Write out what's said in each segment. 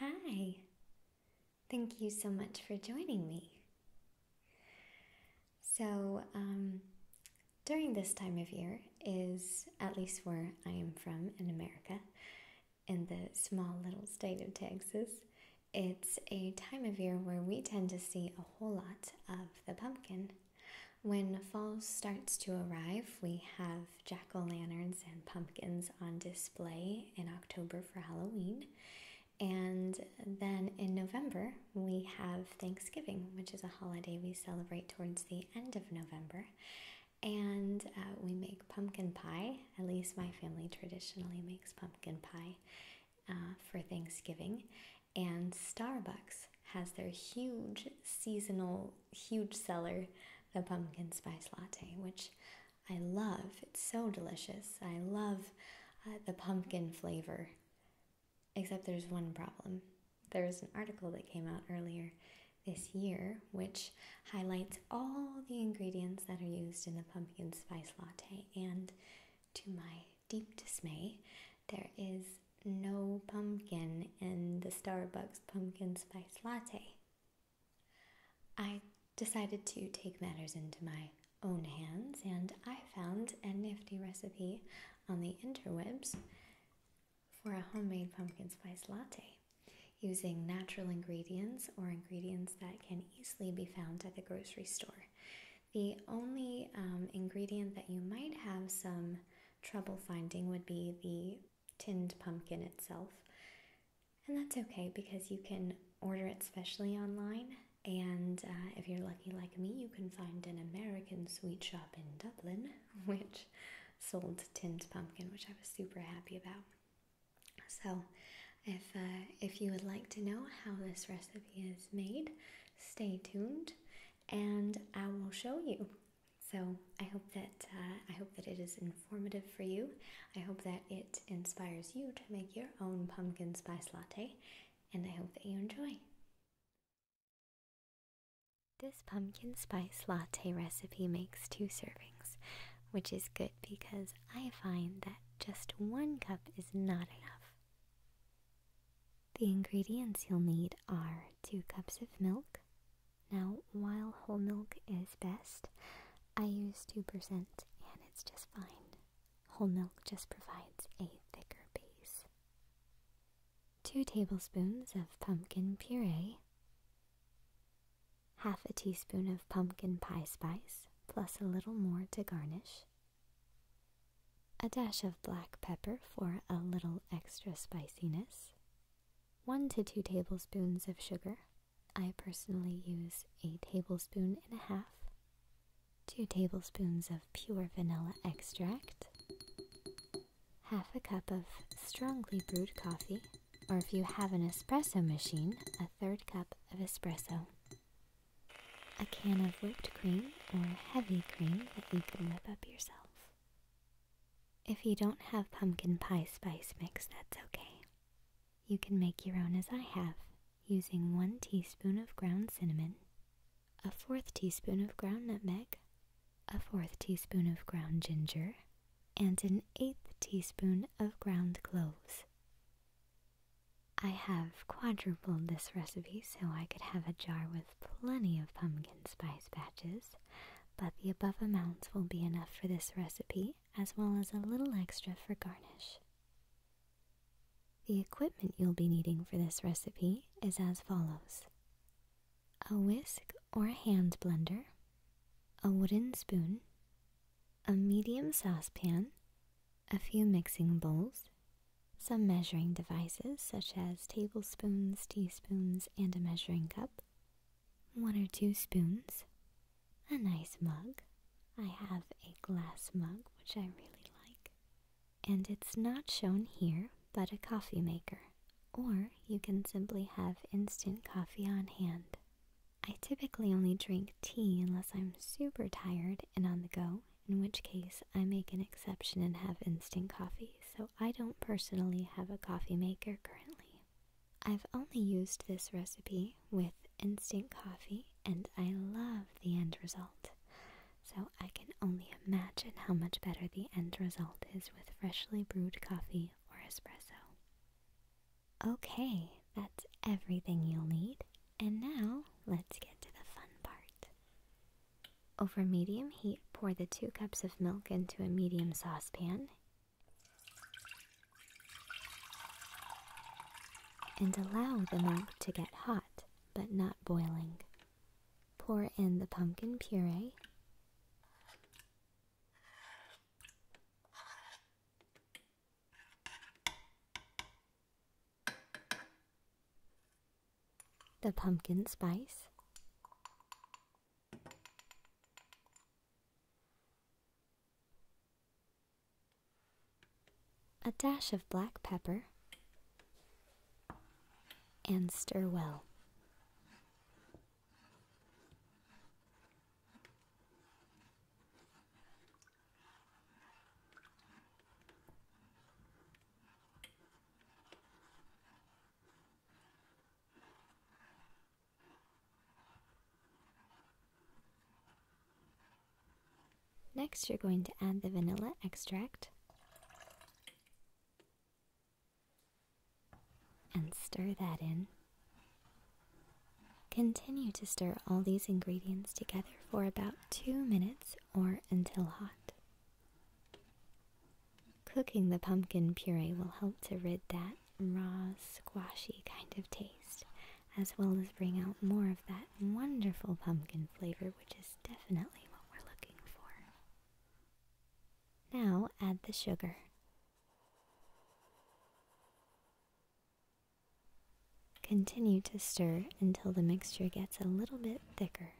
Hi, thank you so much for joining me. So, um, during this time of year is, at least where I am from in America, in the small little state of Texas, it's a time of year where we tend to see a whole lot of the pumpkin. When fall starts to arrive, we have jack o' lanterns and pumpkins on display in October for Halloween. And then in November, we have Thanksgiving, which is a holiday we celebrate towards the end of November. And uh, we make pumpkin pie at least my family traditionally makes pumpkin pie uh, for Thanksgiving. And Starbucks has their huge seasonal, huge seller, the pumpkin spice latte, which I love. It's so delicious. I love uh, the pumpkin flavor. Except there's one problem. There was an article that came out earlier this year which highlights all the ingredients that are used in the pumpkin spice latte. And to my deep dismay, there is no pumpkin in the Starbucks pumpkin spice latte. I decided to take matters into my own hands and I found a nifty recipe on the interwebs for a homemade pumpkin spice latte using natural ingredients or ingredients that can easily be found at the grocery store. The only um, ingredient that you might have some trouble finding would be the tinned pumpkin itself. And that's okay because you can order it specially online. And uh, if you're lucky like me, you can find an American sweet shop in Dublin which sold tinned pumpkin, which I was super happy about. So, if uh, if you would like to know how this recipe is made, stay tuned, and I will show you. So I hope that uh, I hope that it is informative for you. I hope that it inspires you to make your own pumpkin spice latte, and I hope that you enjoy. This pumpkin spice latte recipe makes two servings, which is good because I find that just one cup is not enough. The ingredients you'll need are two cups of milk. Now, while whole milk is best, I use 2% and it's just fine. Whole milk just provides a thicker base. 2 tablespoons of pumpkin puree, half a teaspoon of pumpkin pie spice, plus a little more to garnish, a dash of black pepper for a little extra spiciness, 1 to 2 tablespoons of sugar. I personally use a tablespoon and a half, 2 tablespoons of pure vanilla extract, half a cup of strongly brewed coffee, or if you have an espresso machine, a third cup of espresso. A can of whipped cream or heavy cream that you can whip up yourself. If you don't have pumpkin pie spice mix, that's okay. You can make your own as I have, using one teaspoon of ground cinnamon, a fourth teaspoon of ground nutmeg, a fourth teaspoon of ground ginger, and an eighth teaspoon of ground cloves. I have quadrupled this recipe so I could have a jar with plenty of pumpkin spice patches, but the above amounts will be enough for this recipe as well as a little extra for garnish. The equipment you'll be needing for this recipe is as follows a whisk or a hand blender, a wooden spoon, a medium saucepan, a few mixing bowls, some measuring devices such as tablespoons, teaspoons, and a measuring cup, one or two spoons, a nice mug. I have a glass mug which I really like, and it's not shown here, but a coffee maker. Or you can simply have instant coffee on hand. I typically only drink tea unless I'm super tired and on the go, in which case I make an exception and have instant coffee, so I don't personally have a coffee maker currently. I've only used this recipe with instant coffee and I love the end result so I can only imagine how much better the end result is with freshly brewed coffee or espresso. Okay, that's everything you'll need, and now let's get to the fun part. Over medium heat, pour the two cups of milk into a medium saucepan and allow the milk to get hot but not boiling. Pour in the pumpkin puree. The pumpkin spice a dash of black pepper, and stir well. Next, you're going to add the vanilla extract and stir that in. Continue to stir all these ingredients together for about two minutes or until hot. Cooking the pumpkin puree will help to rid that raw, squashy kind of taste as well as bring out more of that wonderful pumpkin flavor, which is definitely what we're looking for. Now add the sugar. Continue to stir until the mixture gets a little bit thicker.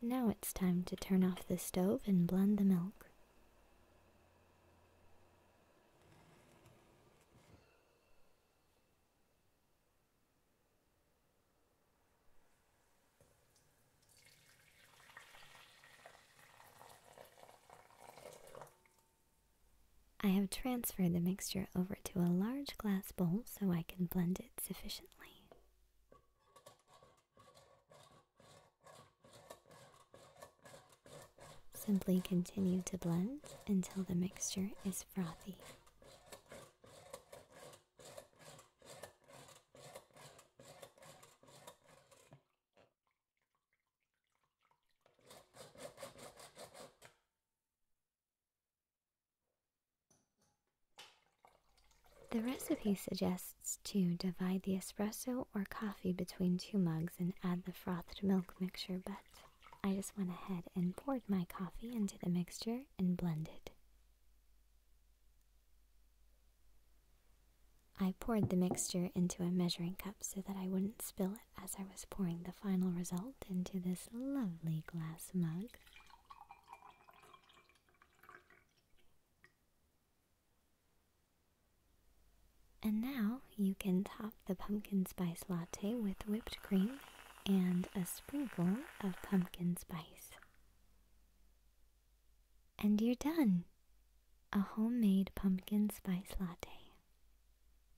Now it's time to turn off the stove and blend the milk. I have transferred the mixture over to a large glass bowl so I can blend it sufficiently. Simply continue to blend until the mixture is frothy. The recipe suggests to divide the espresso or coffee between two mugs and add the frothed milk mixture, but I just went ahead and poured my coffee into the mixture and blended. I poured the mixture into a measuring cup so that I wouldn't spill it as I was pouring the final result into this lovely glass mug. And now you can top the pumpkin spice latte with whipped cream and a sprinkle of pumpkin spice. And you're done! A homemade pumpkin spice latte.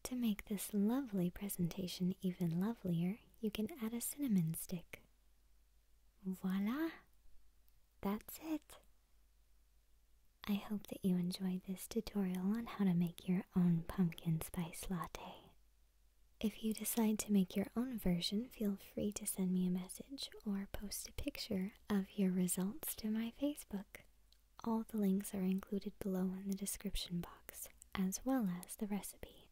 To make this lovely presentation even lovelier, you can add a cinnamon stick. Voila! That's it! I hope that you enjoyed this tutorial on how to make your own pumpkin spice latte. If you decide to make your own version, feel free to send me a message or post a picture of your results to my Facebook. All the links are included below in the description box, as well as the recipe.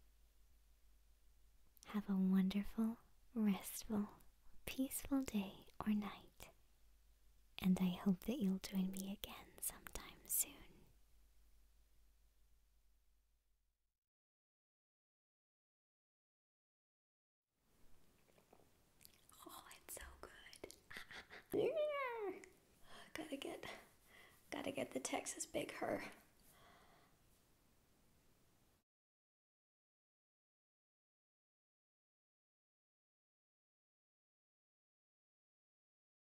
Have a wonderful, restful, peaceful day or night, and I hope that you'll join me again sometime soon. Oh, it's so good. Gotta get gotta get the Texas Big Her.